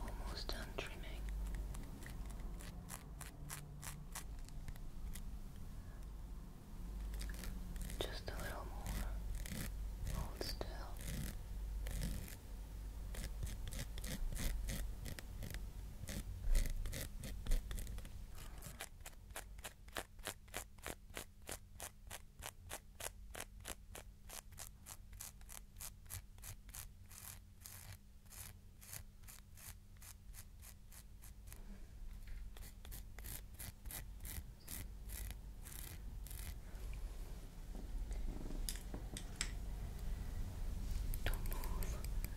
Almost done trimming. Just a little more. Hold still. Don't move.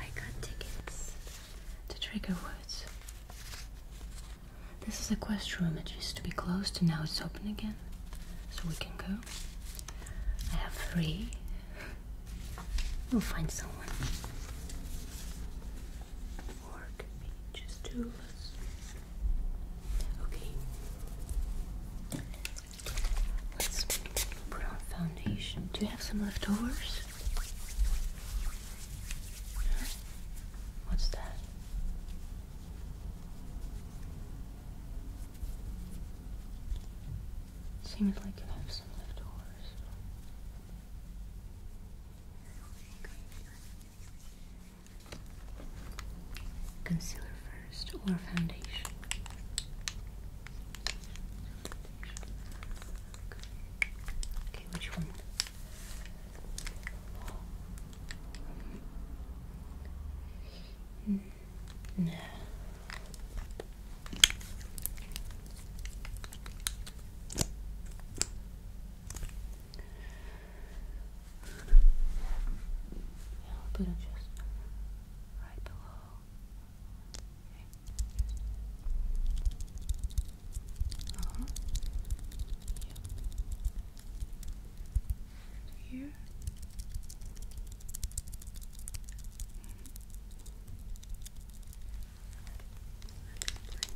I got tickets to Trigger Woods. This is a quest room. It used to be closed and now it's open again. So we can go. I have three. We'll find someone. Or it just two Okay. Let's put on foundation. Do you have some leftovers? Huh? What's that? Seems like you have some leftovers. Concealer first or foundation? Okay, which one? Hmm, no. Yeah, put it just right below uh -huh. yep. Here. Let's blend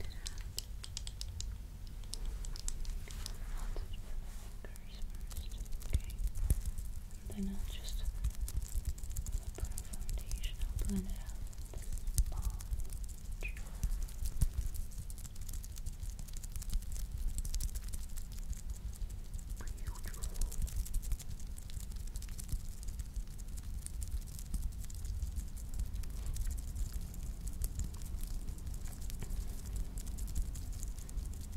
it out. Let's first, okay? then I'll just put on foundation, I'll blend it out Beautiful.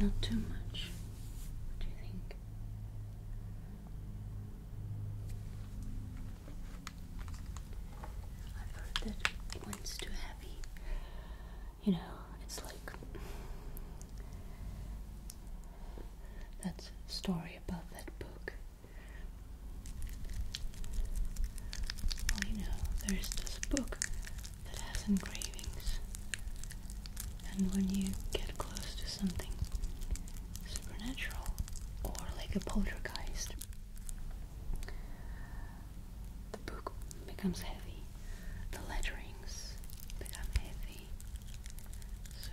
Not too much. do you think? I've heard that when too heavy, you know, it's like that story about that book you know, there's this book that has engravings, and when you get close to something supernatural or like a poltergeist, the book becomes heavy, the letterings become heavy. So,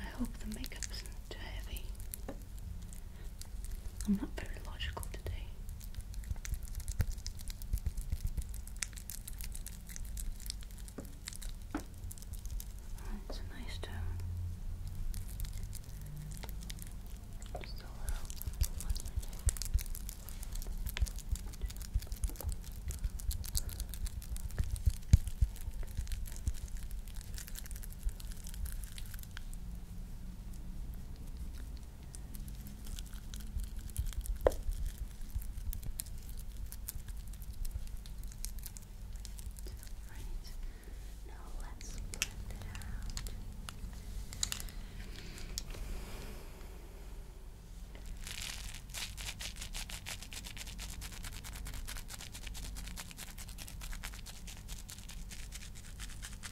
I hope the makeup isn't too heavy. I'm not very logical today. Oh, it's a nice tone. Just a Right. Now let's blend it out. Okay.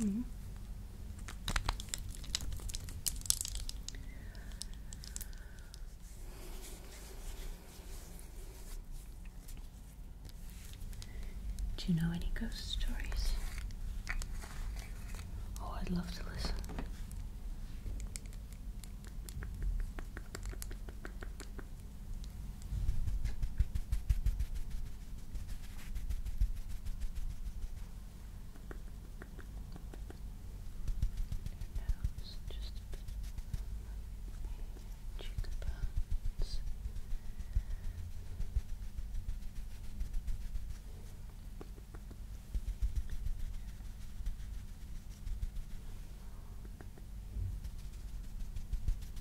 Mm-hmm. Do you know any ghost stories? Oh, I'd love to listen nose, just a bit cheekbones. Just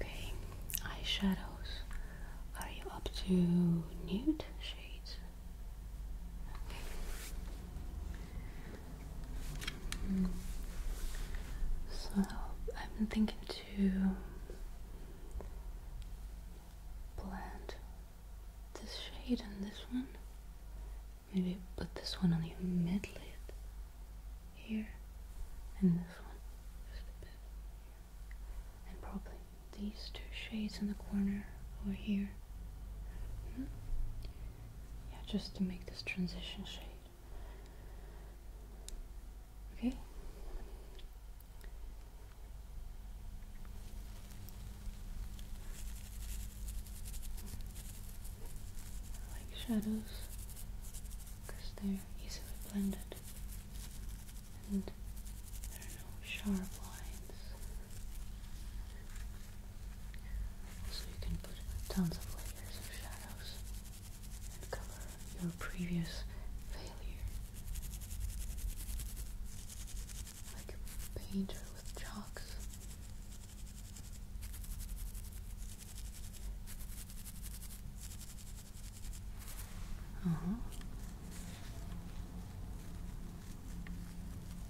Okay, eyeshadows. Are you up to nude shades? So i have been thinking to blend this shade and this one. Maybe put this one on your mid lid here and this one just a bit here. And probably these two shades in the corner over here. Hmm? Yeah, just to make this transition shade. Okay. I like shadows because they're easily blended and there are no sharp lines. So you can put tons of layers of shadows and cover your previous failure. Like a painter with chalks. Uh-huh.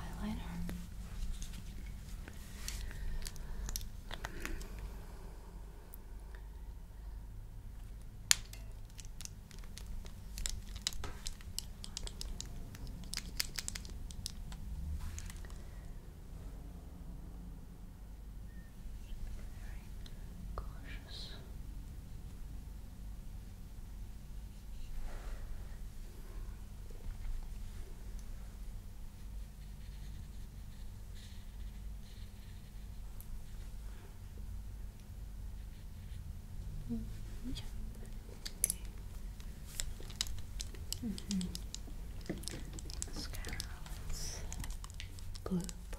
eyeliner very cautious. -hmm. yeah. -hmm. Mascara, let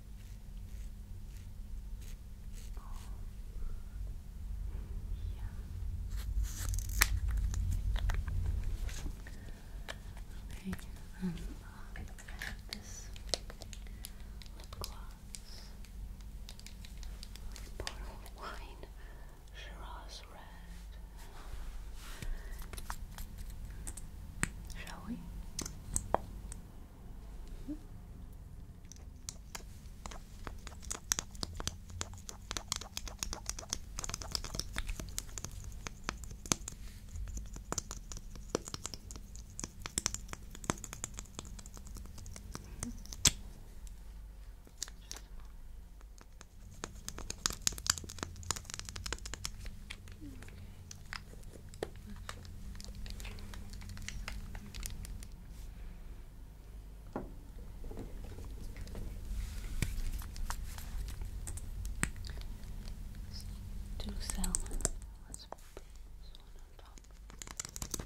Oh. Yeah. Okay, um, this lip gloss, bottle of wine, Shiraz red. Shall we? Two salmon. Let's put this one on top. Yeah.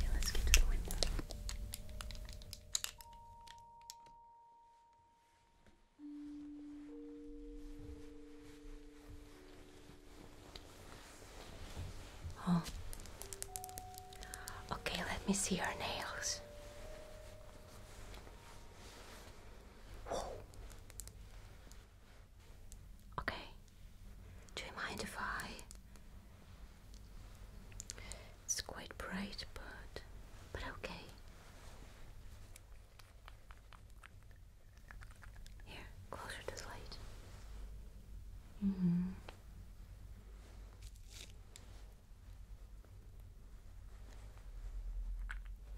Okay, let's get to the window. Oh. Okay, let me see your nails. Okay. Do you mind if I? It's quite bright, but but okay. Here, closer to the light. Mm hmm.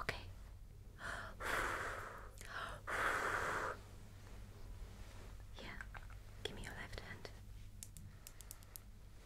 Okay. yeah, give me your left hand.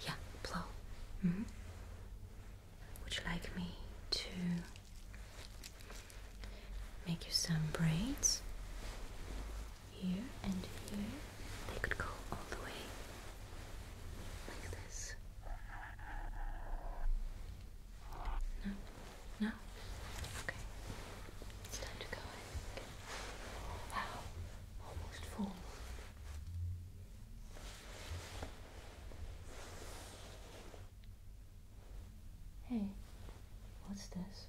Yeah, blow. Mm-hmm. Would you like me to make you some braids here and here? They could go all the way like this. No? No? Okay. It's time to go, Wow. Almost full. Hey, what's this?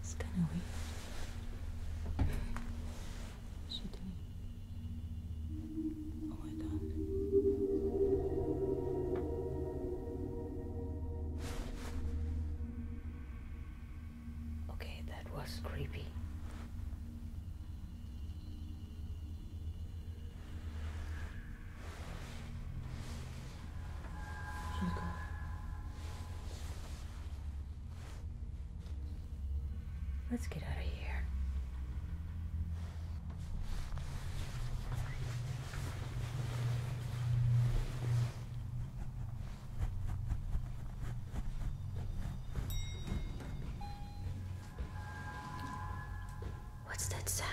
It's kind of weird. What's she doing? Oh my god. Okay, that was creepy. She's gone. Let's get out of here. What's that sound?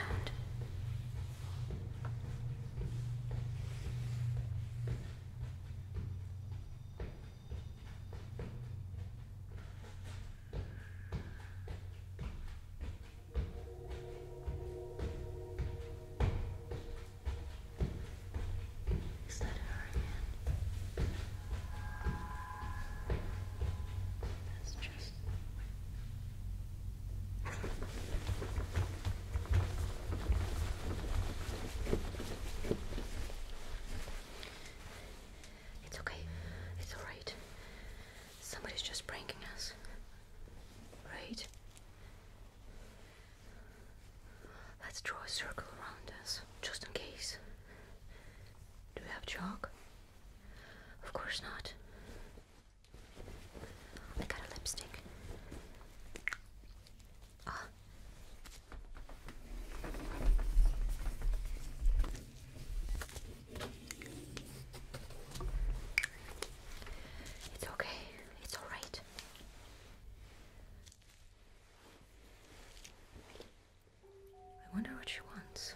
Is that her again? That's just. It's okay. It's alright. Somebody's just pranking us. Right? Let's draw a circle around us, just in case. Do we have chalk? Of course not. I got a lipstick. It's okay, it's alright. I wonder what she wants.